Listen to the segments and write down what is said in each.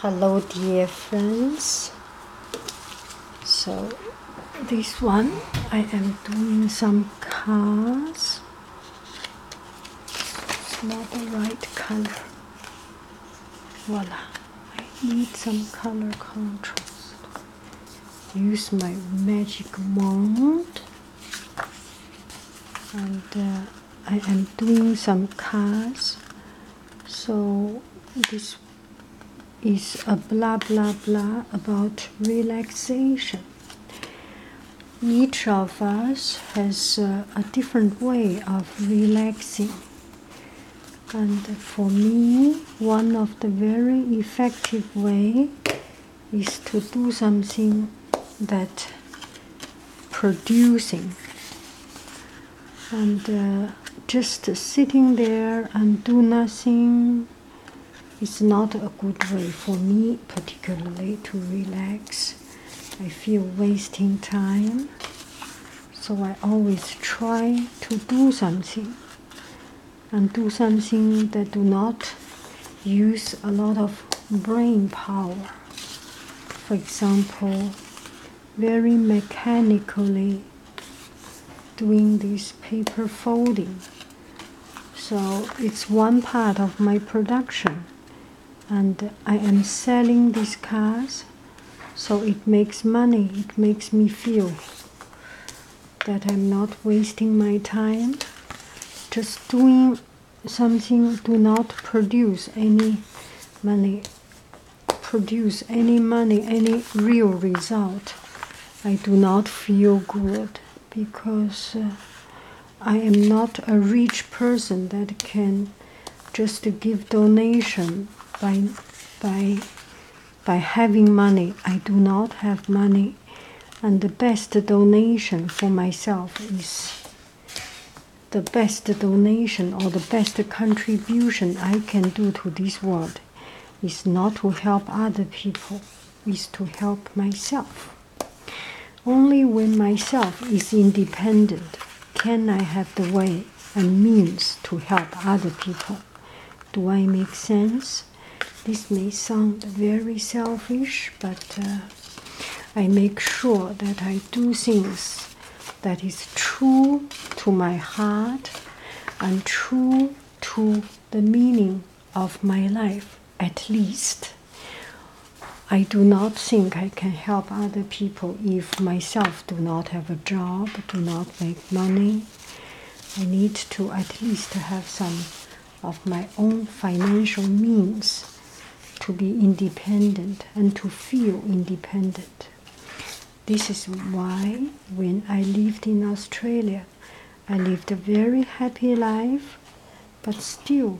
hello dear friends so this one I am doing some cars it's not the right color voila need some color contrast use my magic wand and uh, I am doing some cards. So this is a blah blah blah about relaxation. Each of us has uh, a different way of relaxing. And for me, one of the very effective way is to do something that producing and uh, just sitting there and do nothing is not a good way for me particularly to relax i feel wasting time so i always try to do something and do something that do not use a lot of brain power for example, very mechanically doing this paper folding. So it's one part of my production, and I am selling these cars, so it makes money, it makes me feel that I'm not wasting my time just doing something do not produce any money produce any money any real result i do not feel good because uh, i am not a rich person that can just give donation by by by having money i do not have money and the best donation for myself is the best donation or the best contribution I can do to this world is not to help other people, is to help myself. Only when myself is independent can I have the way and means to help other people. Do I make sense? This may sound very selfish but uh, I make sure that I do things that is true to my heart and true to the meaning of my life, at least. I do not think I can help other people if myself do not have a job, do not make money. I need to at least have some of my own financial means to be independent and to feel independent. This is why when I lived in Australia, I lived a very happy life, but still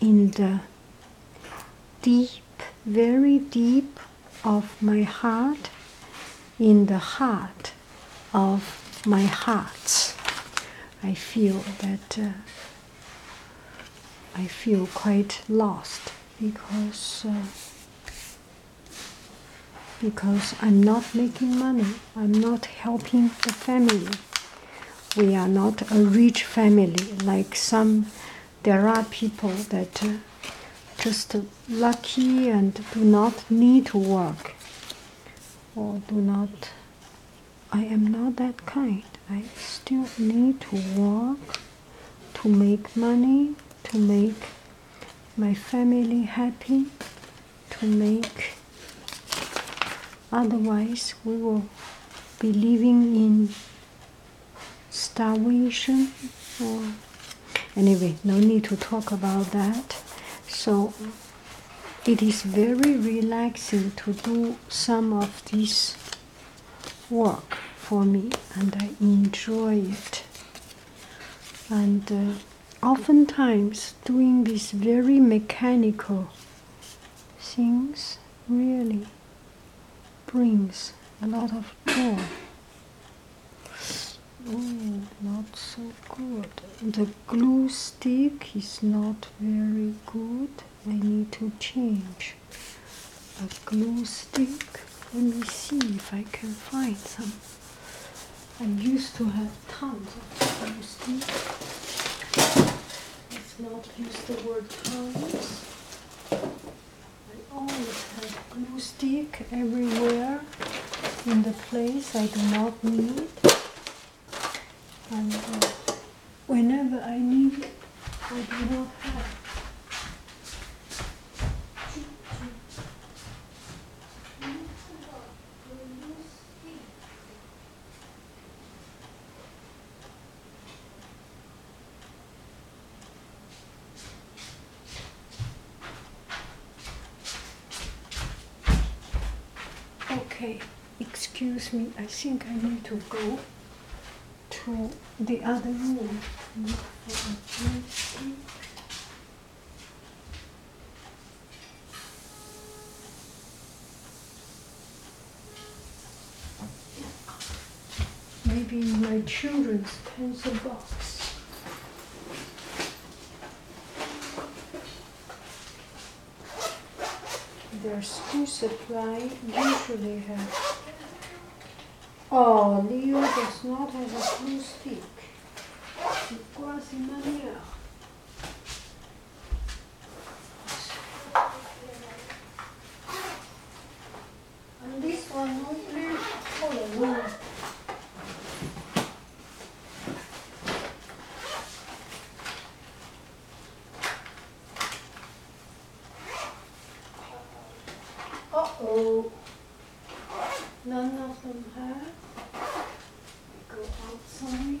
in the deep, very deep of my heart, in the heart of my hearts. I feel that uh, I feel quite lost because uh, because I'm not making money. I'm not helping the family. We are not a rich family like some. There are people that uh, just lucky and do not need to work or do not I am not that kind. I still need to work to make money, to make my family happy, to make otherwise we will be living in starvation anyway no need to talk about that so it is very relaxing to do some of this work for me and I enjoy it. And uh, oftentimes, doing these very mechanical things really brings a lot of joy. Oh, not so good. The glue stick is not very good. I need to change a glue stick. Let me see if I can find some. I used to have tons of glue sticks. Let's not use the word tons. I always have glue stick everywhere in the place I do not need. And uh, whenever I need, it, I do not have. Okay. Excuse me, I think I need to go to the other room. Maybe my children's pencil box. Their school supply usually have. Oh, Leo does not have a blue stick. Quasi manière. And this one only color one. Uh-oh. None of them have. Go outside.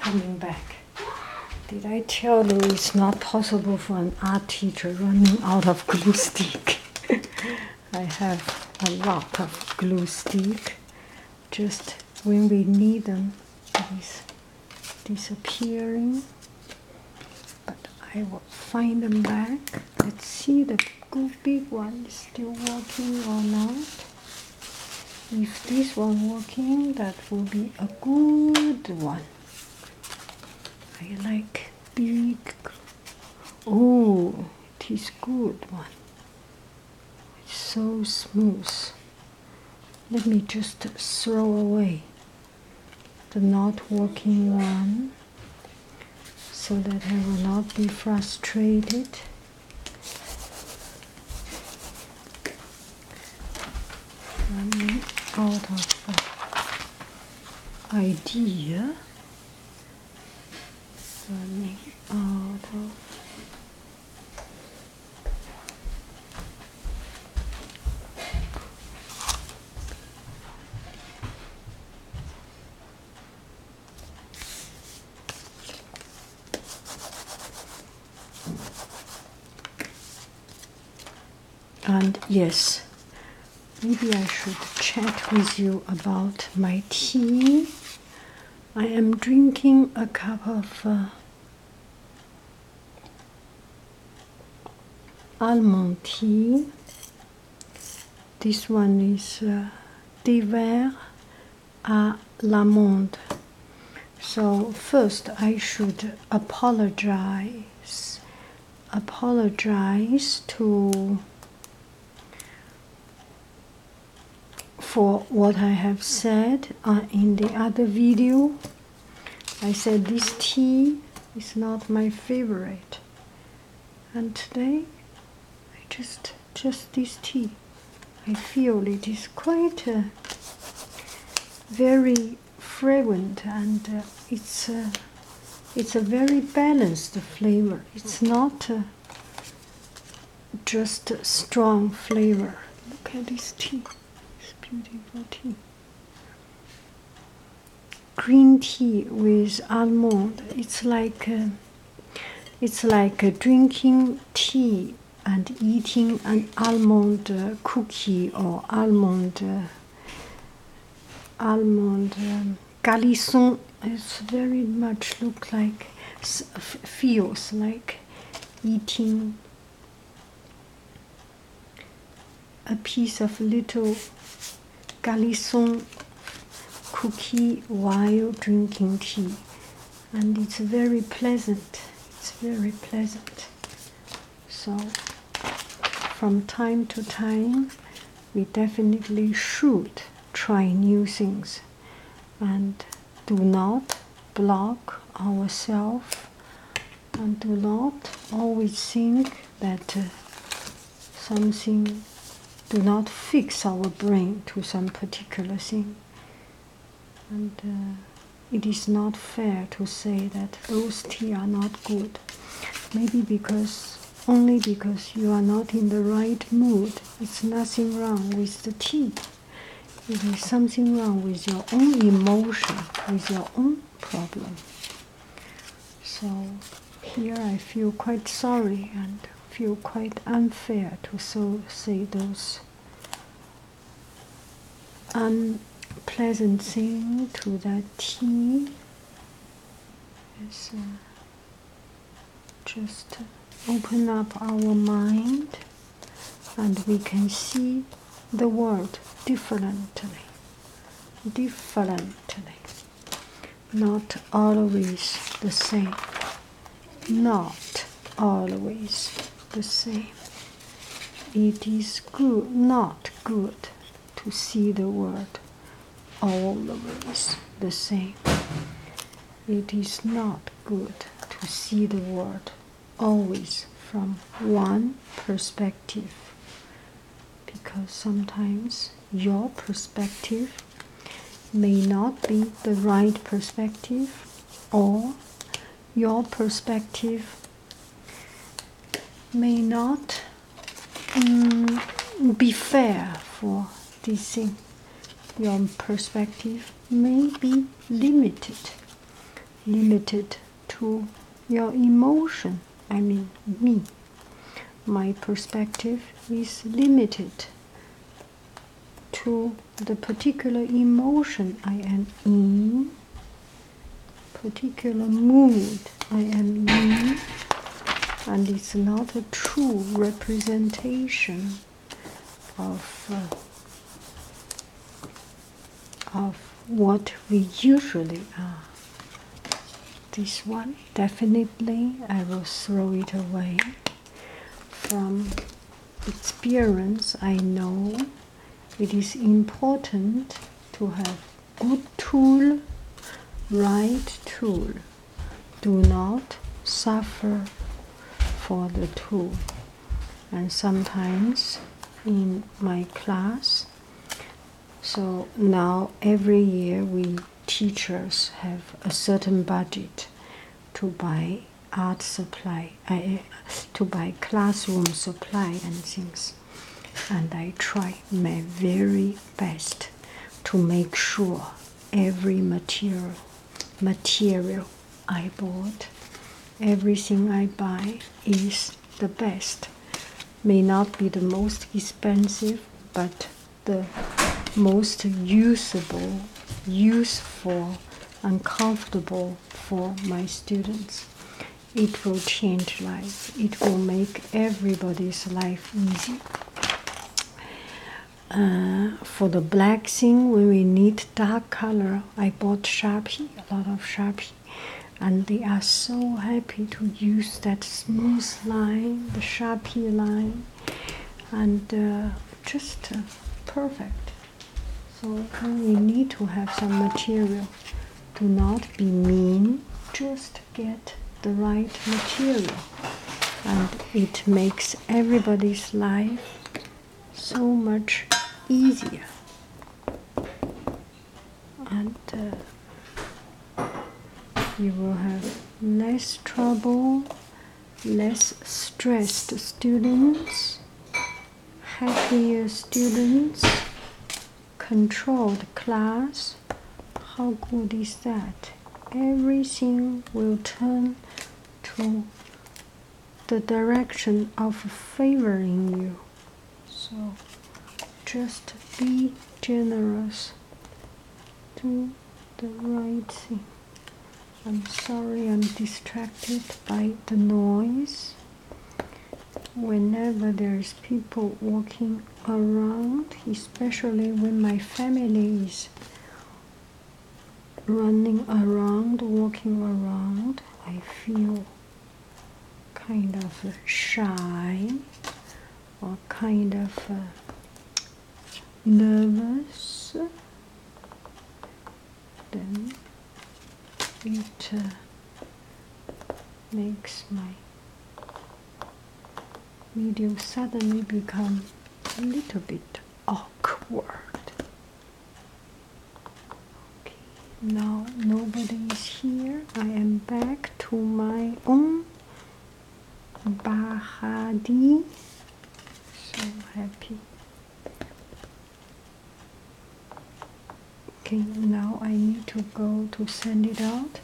coming back. Did I tell you it's not possible for an art teacher running out of glue stick? I have a lot of glue stick just when we need them, it is disappearing. But I will find them back. Let's see the big one is still working or not. If this one working, that will be a good one. I like big. Oh, it is good one. It's so smooth. Let me just throw away the not working one so that I will not be frustrated. Let me out of idea so and yes, maybe I should chat with you about my tea. I am drinking a cup of uh, almond tea. This one is uh, d'hiver à l'amande. So first, I should apologize. Apologize to for what I have said uh, in the other video. I said this tea is not my favorite, and today I just just this tea. I feel it is quite uh, very fragrant and uh, it's it's a very balanced flavor. It's not just strong flavor. Look at this tea, It's beautiful tea. Green tea with almond. It's like it's like drinking tea and eating an almond uh, cookie or almond uh, almond um, Galisson is very much look like feels like eating a piece of little Galisson cookie while drinking tea, and it's very pleasant. It's very pleasant. So, from time to time, we definitely should try new things and do not block ourselves and do not always think that uh, something do not fix our brain to some particular thing and uh, it is not fair to say that those tea are not good maybe because only because you are not in the right mood. It's nothing wrong with the tea. It is something wrong with your own emotion, with your own problem. So here I feel quite sorry and feel quite unfair to so say those unpleasant things to that tea. It's, uh, just open up our mind and we can see the world differently differently not always the same not always the same it is good not good to see the world always the same. It is not good to see the world always from one perspective because sometimes your perspective may not be the right perspective or your perspective may not Mm, be fair for this thing. Your perspective may be limited, limited to your emotion. I mean, me. My perspective is limited to the particular emotion I am in, particular mood I am me and it's not a true representation of, uh, of what we usually are. This one, definitely, I will throw it away. From experience, I know it is important to have good tool, right tool. Do not suffer for the tool. And sometimes in my class, so now every year we teachers have a certain budget to buy art supply, to buy classroom supply and things and I try my very best to make sure every material material I bought everything I buy is the best may not be the most expensive but the most usable useful and comfortable for my students it will change life it will make everybody's life easy. Uh, for the black thing, when we need dark color, I bought Sharpie, a lot of Sharpie, and they are so happy to use that smooth line, the Sharpie line, and uh, just uh, perfect. So we need to have some material, do not be mean, just get the right material and it makes everybody's life so much easier and uh, you will have less trouble less stressed students happier students controlled class. How good is that? Everything will turn to the direction of favoring you. So just be generous. Do the right thing. I'm sorry I'm distracted by the noise whenever there's people walking around, especially when my family is running around, walking around, I feel kind of shy or kind of uh, nervous. Then it uh, makes my video suddenly become a little bit awkward. Okay, now nobody is here. I am back to my own Bahadi. So happy okay now I need to go to send it out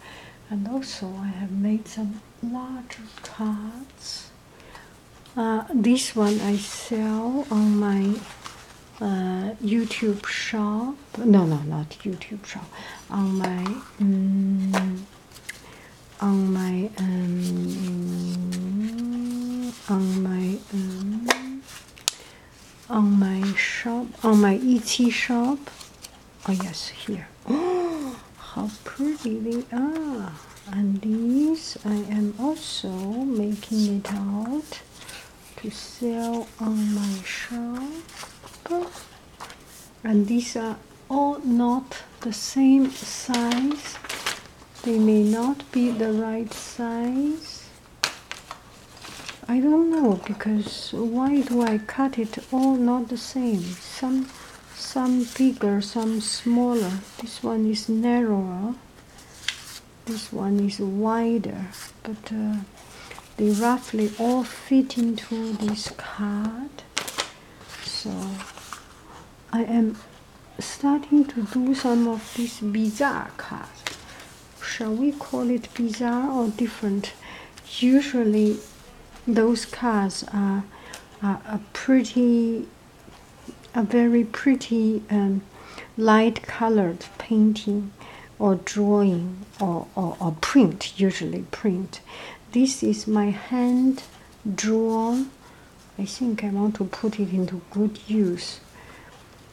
and also I have made some larger cards uh, this one I sell on my uh, YouTube shop no no not YouTube shop on my mm, on my um, on my um, on my shop, on my Etsy shop. Oh yes, here. Oh, how pretty they are! And these, I am also making it out to sell on my shop. And these are all not the same size. They may not be the right size. I don't know because why do I cut it all not the same? Some some bigger, some smaller. This one is narrower. This one is wider, but uh, they roughly all fit into this card. So I am starting to do some of these bizarre cards shall we call it bizarre or different? Usually, those cars are, a pretty, a very pretty um, light colored painting or drawing or, or, or print, usually print. This is my hand drawn. I think I want to put it into good use.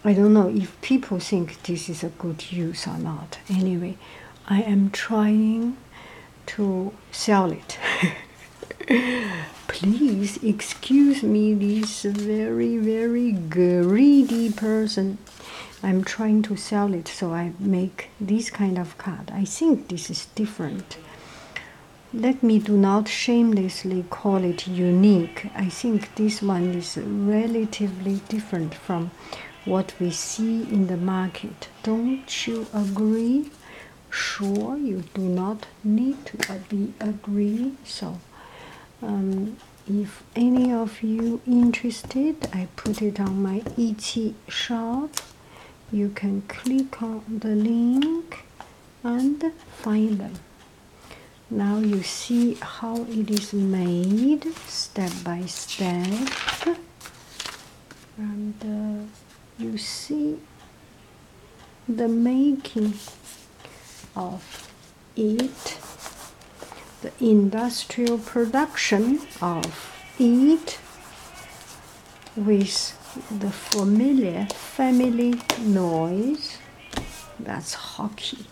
I don't know if people think this is a good use or not. Anyway, I am trying to sell it. Please excuse me, this very, very greedy person. I'm trying to sell it, so I make this kind of card. I think this is different. Let me do not shamelessly call it unique. I think this one is relatively different from what we see in the market. Don't you agree? Sure, you do not need to be agree. So, um, if any of you interested, I put it on my Etsy shop. You can click on the link and find them. Now you see how it is made step by step, and uh, you see the making of it, the industrial production of it with the familiar family noise that's hockey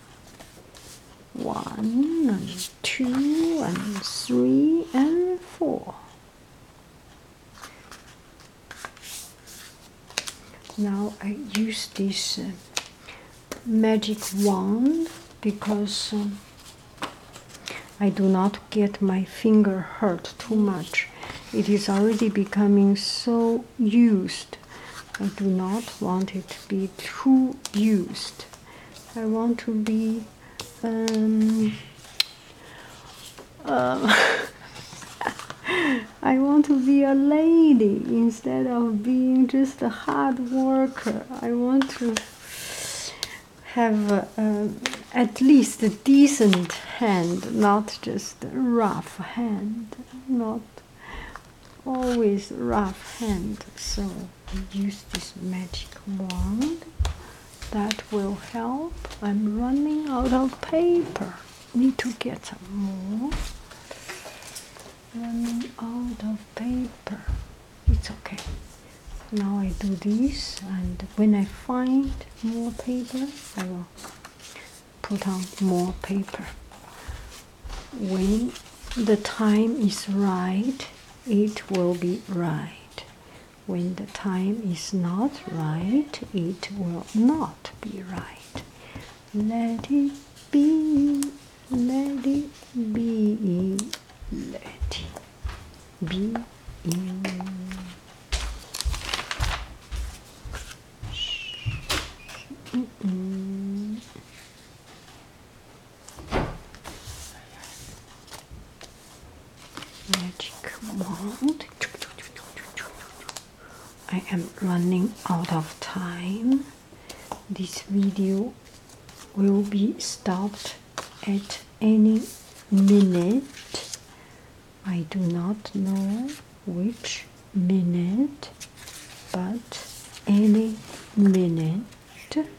one and two and three and four. Now I use this uh, magic wand because um, I do not get my finger hurt too much. It is already becoming so used. I do not want it to be too used. I want to be um, um, I want to be a lady instead of being just a hard worker. I want to have um, at least a decent hand, not just a rough hand, not always rough hand so use this magic wand that will help i'm running out of paper need to get some more running out of paper it's okay now i do this and when i find more paper i will put on more paper. When the time is right, it will be right. When the time is not right, it will not be right. Let it be, let it be, let it be. Magic wand. I am running out of time. This video will be stopped at any minute. I do not know which minute, but any minute. Okay.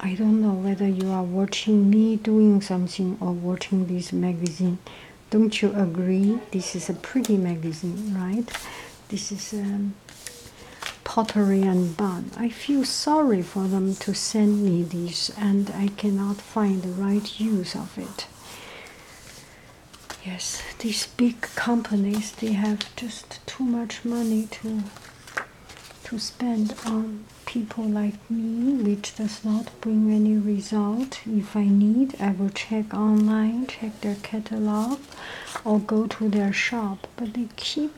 I don't know whether you are watching me doing something or watching this magazine. Don't you agree? This is a pretty magazine, right? This is um, pottery and bun. I feel sorry for them to send me this, and I cannot find the right use of it. Yes, these big companies they have just too much money to to spend on people like me, which does not bring any result. If I need, I will check online, check their catalog, or go to their shop. But they keep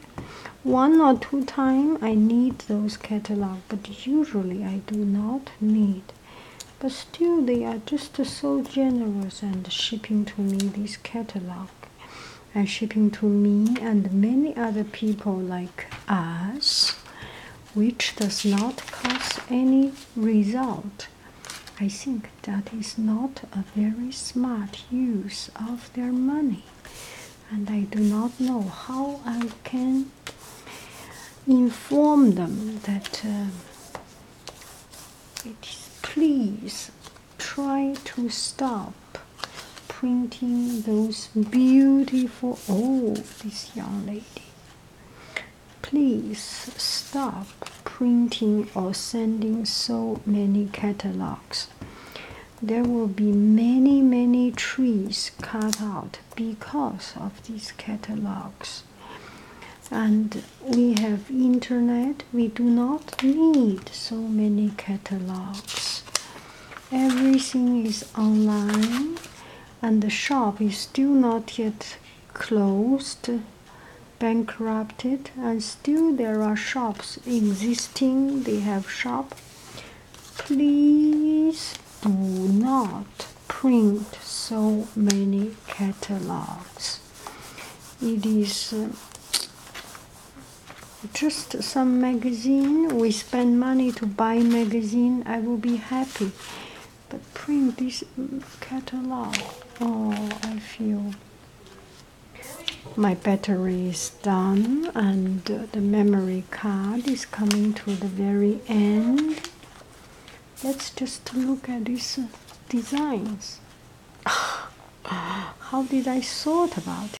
one or two time I need those catalog, but usually I do not need. But still, they are just so generous and shipping to me this catalog and shipping to me and many other people like us, which does not cause any result. I think that is not a very smart use of their money, and I do not know how I can inform them that uh, please try to stop printing those beautiful oh this young lady please stop printing or sending so many catalogs there will be many many trees cut out because of these catalogs and we have internet we do not need so many catalogs everything is online and the shop is still not yet closed bankrupted and still there are shops existing they have shop please do not print so many catalogs it is uh, just some magazine we spend money to buy magazine i will be happy but print this catalog oh i feel my battery is done and the memory card is coming to the very end let's just look at these designs how did i thought about it